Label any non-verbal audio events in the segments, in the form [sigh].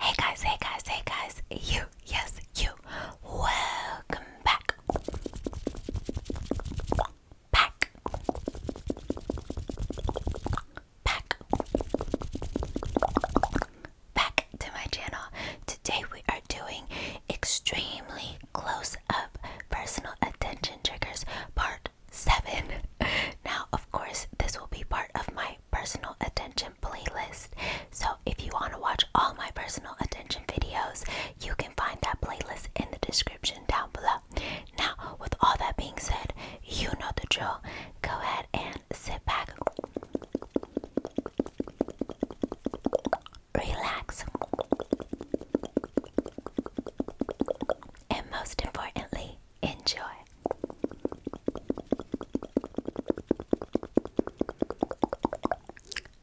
Hey guys, hey guys, hey guys, you, yes, you, welcome back. Back. Back. Back to my channel. Today we are doing extremely close up personal attention triggers part seven. [laughs] Now, of course, this will be part of my personal attention playlist. So, if you want to watch all my personal attention videos, you can find that playlist in the description down below. Now, with all that being said, you know the drill. Go ahead and sit back, relax, and most importantly, enjoy.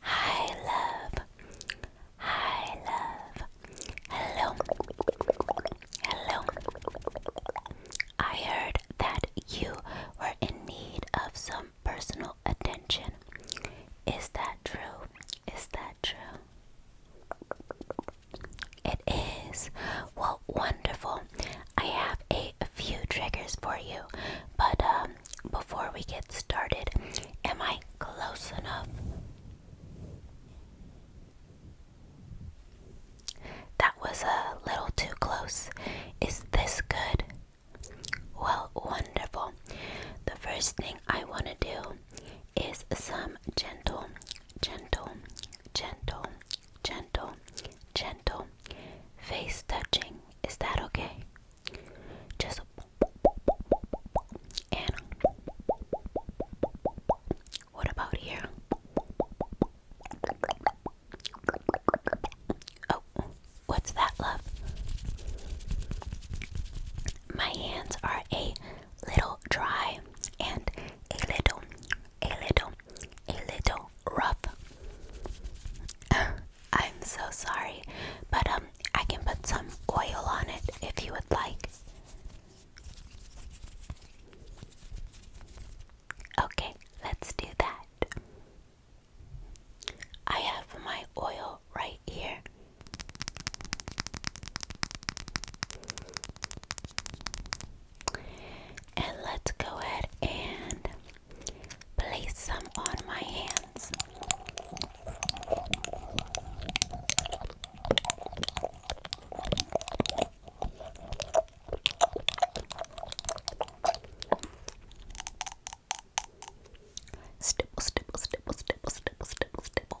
Hi, love. Hi, love. Hello. Hello. I heard that you were in need of some personal attention. Is that true? Is that true? It is. Well, wonderful. I have a few triggers for you, but um, before we get started, am I close enough? That was a little too close. Is this good? Well, wonderful. The first thing I want to do is some gentle gentle, gentle, gentle, gentle. Face touching. Is that okay? Just and what about here? Oh, what's that, love? My hands are a little dry and a little, a little, a little rough. [laughs] I'm so sorry, but um, I can put some oil on it if you would like. Okay, let's do that. I have my oil right here. And let's go ahead and place some on my hands. Stipple, stipple, stipple, stipple, stipple, stipple, stipple.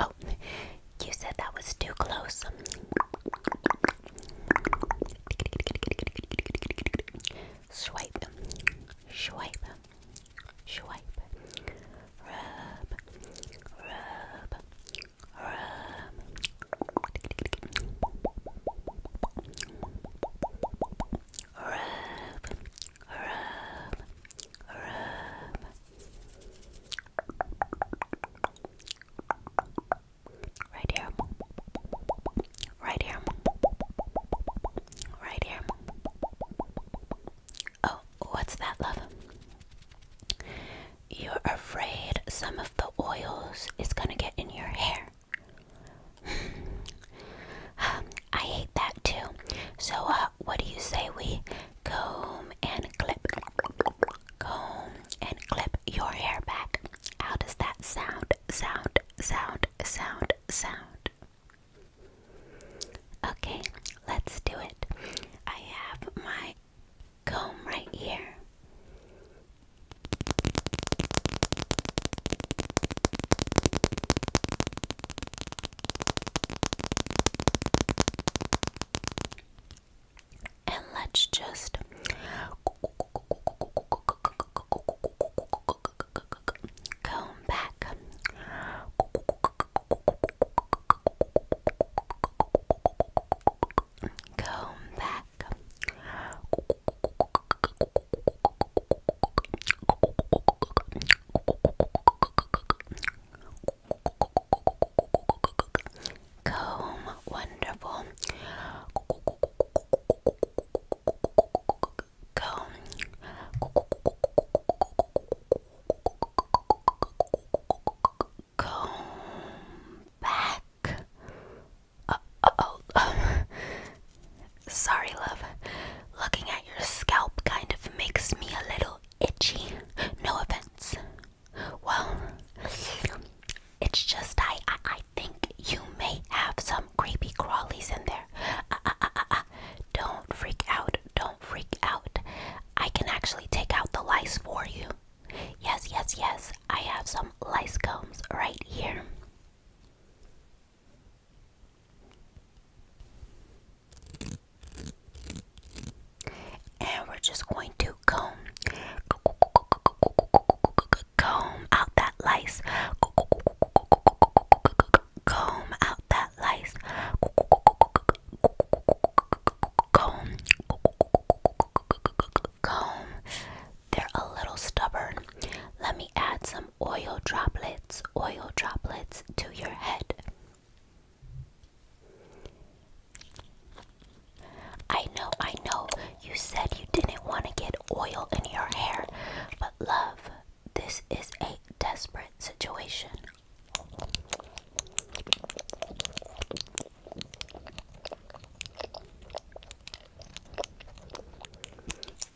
Oh, you said that was too close. Swipe, swipe, swipe. Rub, rub, rub. Rub, rub, rub. Right here, right here, right here. Oh, what's that, love? You're afraid some of the oils is gonna get in your hair. [sighs] I hate that too. So, uh, what do you say we comb and clip, comb and clip your hair back? How does that sound? Sound, sound, sound, sound. Okay, let's do it. I have my comb right here. And let's just comb back. Comb back. Comb, wonderful. Comb. Comb back. Uh, uh, oh, um, [laughs] Sorry, love. Looking at your scalp kind of makes me a little itchy. No offense. Well, it's just I, I, I think you may have some creepy crawlies in there. Uh, uh, uh, uh, uh. don't freak out. Don't freak out. I can actually take out the lice for you. Yes, yes, yes. I have some lice combs right here. And we're just going to comb, comb out that lice, comb out that lice, comb, comb. They're a little stubborn. Let me add some oil droplets, oil droplets to your head. I know, I know, you said you didn't want to get oil in your hair, but love, this is a desperate situation.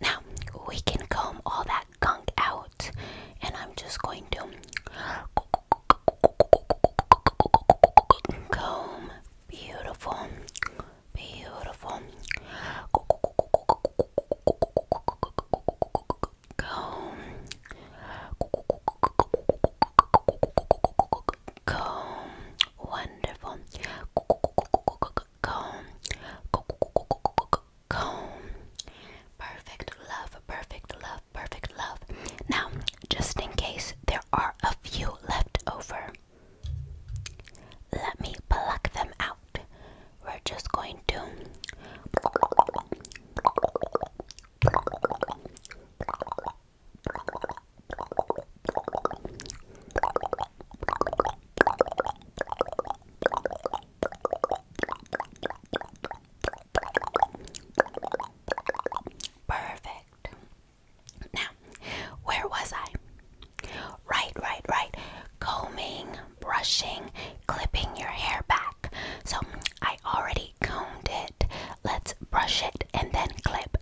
Now we can comb all that gunk out, and I'm just going to comb. Beautiful, beautiful. Comb, comb. Wonderful comb comb perfect love perfect love perfect love now just in case there are a few left over let me pluck them out we're just going to Perfect. Now, where was I? Right, right, right. Combing, brushing, clipping your hair back. So I already combed it. Let's brush it and then clip.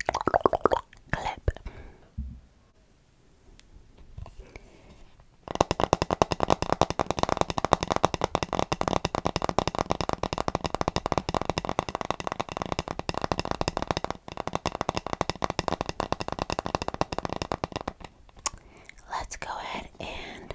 Clip. Let's go ahead and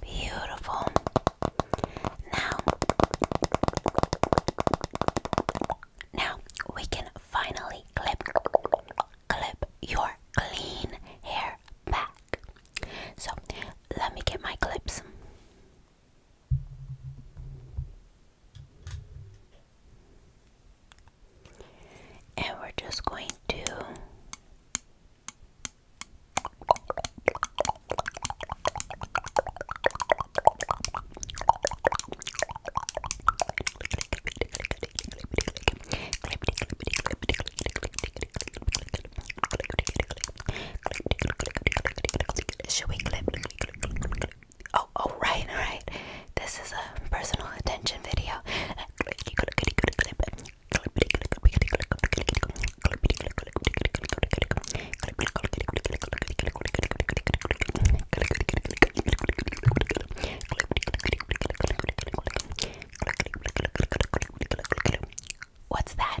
Beautiful. Now, now we can finally clip clip your clean hair back. So let me get my clips. And we're just going to should we clip? Oh, oh, right, right. This is a personal attention video. What's that?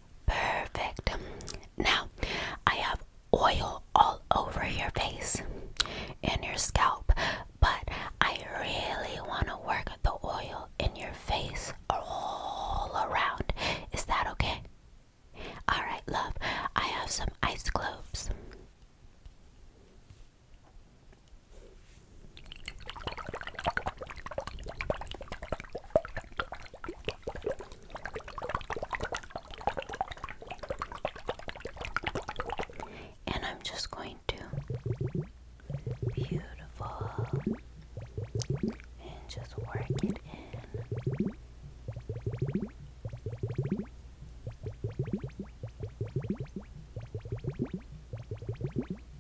Perfect. Now, I have oil all over your face and your scalp, but I really want to work the oil in your face all around. Is that okay? Alright, love, I have some ice cubes. And I'm just going to beautiful and just work it in.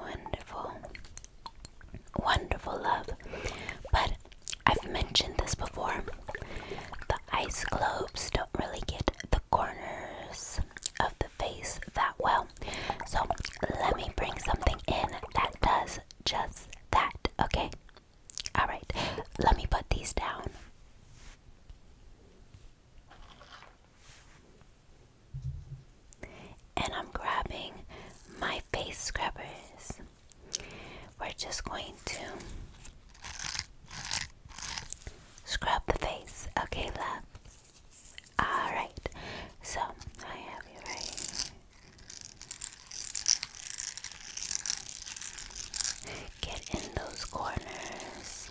Wonderful, wonderful love. But I've mentioned this before the ice globes don't really get the corners of the face that well. So let me bring something in that does just that, okay? Alright, let me put these down. And I'm grabbing my face scrubbers. We're just going to scrub the face. Okay, love. Alright, so I have you right Get in those corners.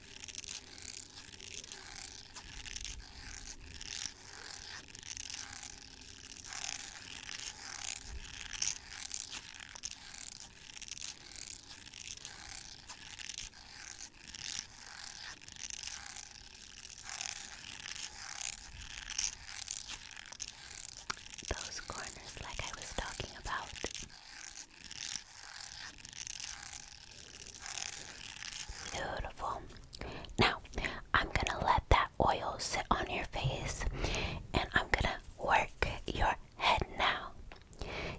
Those corners, like I was talking about, Beautiful. Now, I'm gonna let that oil sit on your face and I'm gonna work your head now.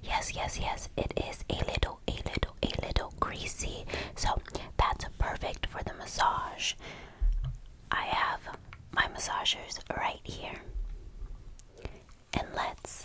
Yes, yes, yes, it is a little, a little, a little greasy. So that's perfect for the massage. I have my massagers right here. And let's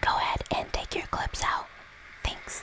Go ahead and take your clips out. Thanks.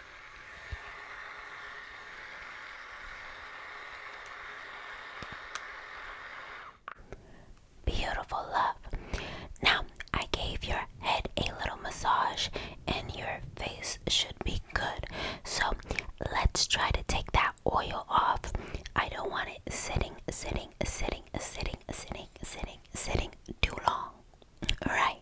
Beautiful love. Now, I gave your head a little massage and your face should be good. So, let's try to take that oil off. I don't want it sitting, sitting, sitting, sitting, sitting, sitting, sitting too long. Right.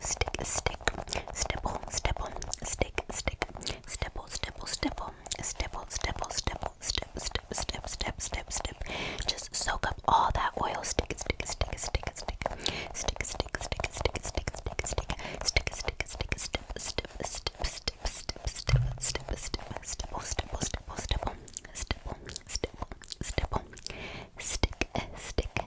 stick, stick, stipple, stipple, stick, stick, stipple, stipple, stipple, stipple, stipple, stipple, stip, stip, stip, stip, stip, stip. Just soak up all that oil. Stick, stick, stick, stick, stick, stick, stick, stick, stick, stick, stick, stick, stick, stick, stick, stip, stip, stip, stip, stip, stip, stip, stip, stipple, stipple, stipple, stipple, stipple, stipple, stipple, stick, stick,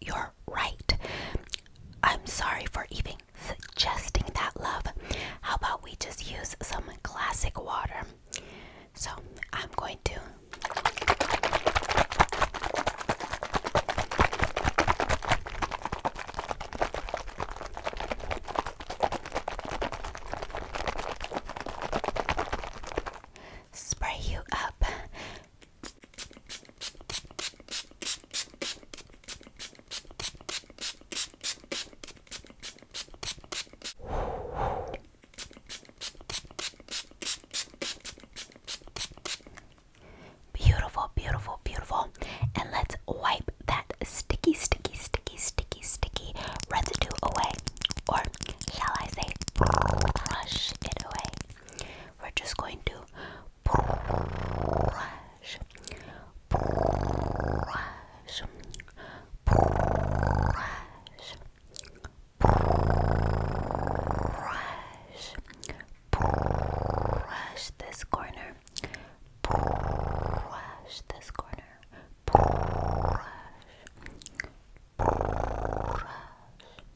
you're right. I'm sorry for even suggesting that, love. How about we just use some classic water? So I'm going to. Spray you up Beautiful, beautiful, beautiful. And let's wipe that sticky, sticky, sticky, sticky, sticky residue away. Or shall I say, crush it away? We're just going to brush, brush, brush, brush, brush this corner, brush this corner, brush. Brush,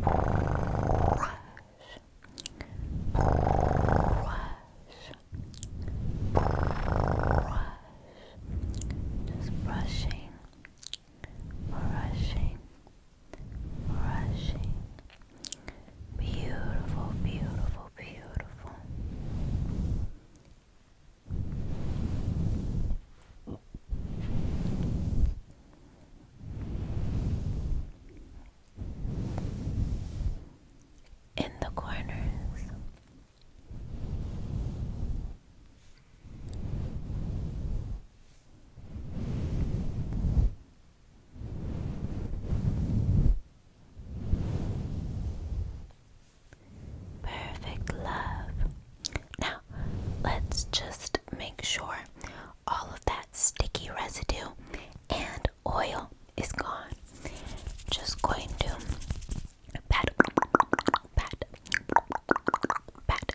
brush, brush, just brushing, brushing, brushing. Beautiful, beautiful, beautiful. In the corners, perfect love now, let's just make sure all of that sticky residue and oil is gone. Just going to pat, pat, pat, pat, pat, pat,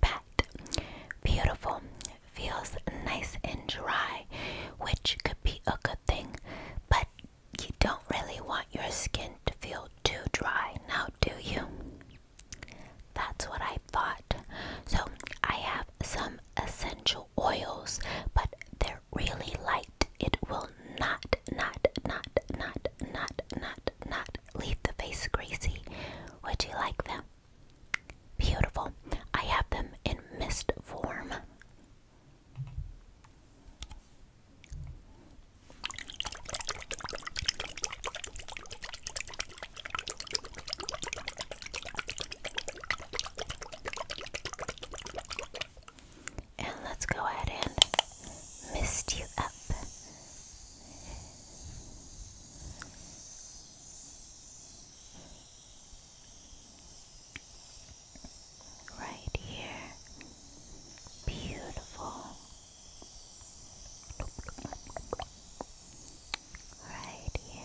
pat. Beautiful. Feels nice and dry, which could be a good thing, but you don't really want your skin to feel too dry now, do you? That's what I thought. So, I have some essential oils, but they're really light. It will not, not, not, not, not, not, not leave the face greasy. Would you like them? Beautiful. I have them in mist form. And let's go ahead and mist you up. Right here. Beautiful. Right here.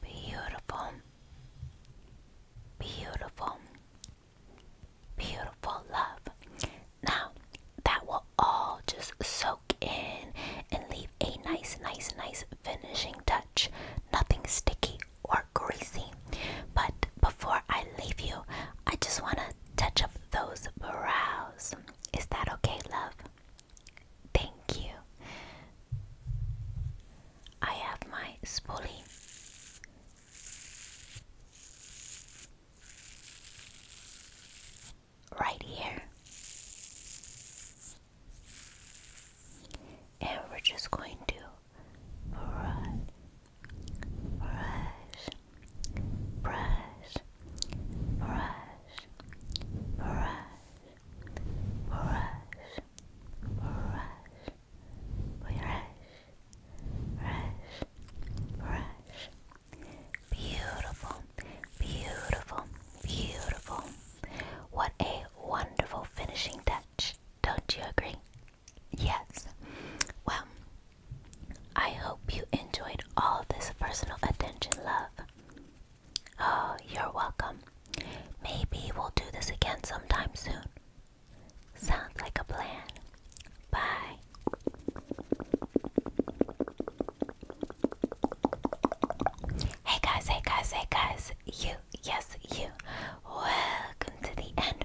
Beautiful, beautiful, beautiful love. Now that will all just soak in and leave a nice, nice, nice finishing touch. Nothing sticky or greasy. But before I leave you, I just want to touch up those brows. Is that okay, love? Thank you. I have my spoolie. Right here, and we're just going to brush, brush, brush, brush, brush, brush, brush, brush, brush, brush. Beautiful, beautiful, beautiful. What a wonderful finishing touch. Don't you agree? Yes. Well, I hope you enjoyed all this personal attention, love. Oh, you're welcome. Maybe we'll do this again sometime soon. Sounds like a plan. Bye. Hey guys, hey guys, hey guys. You, yes, you. Welcome to the end.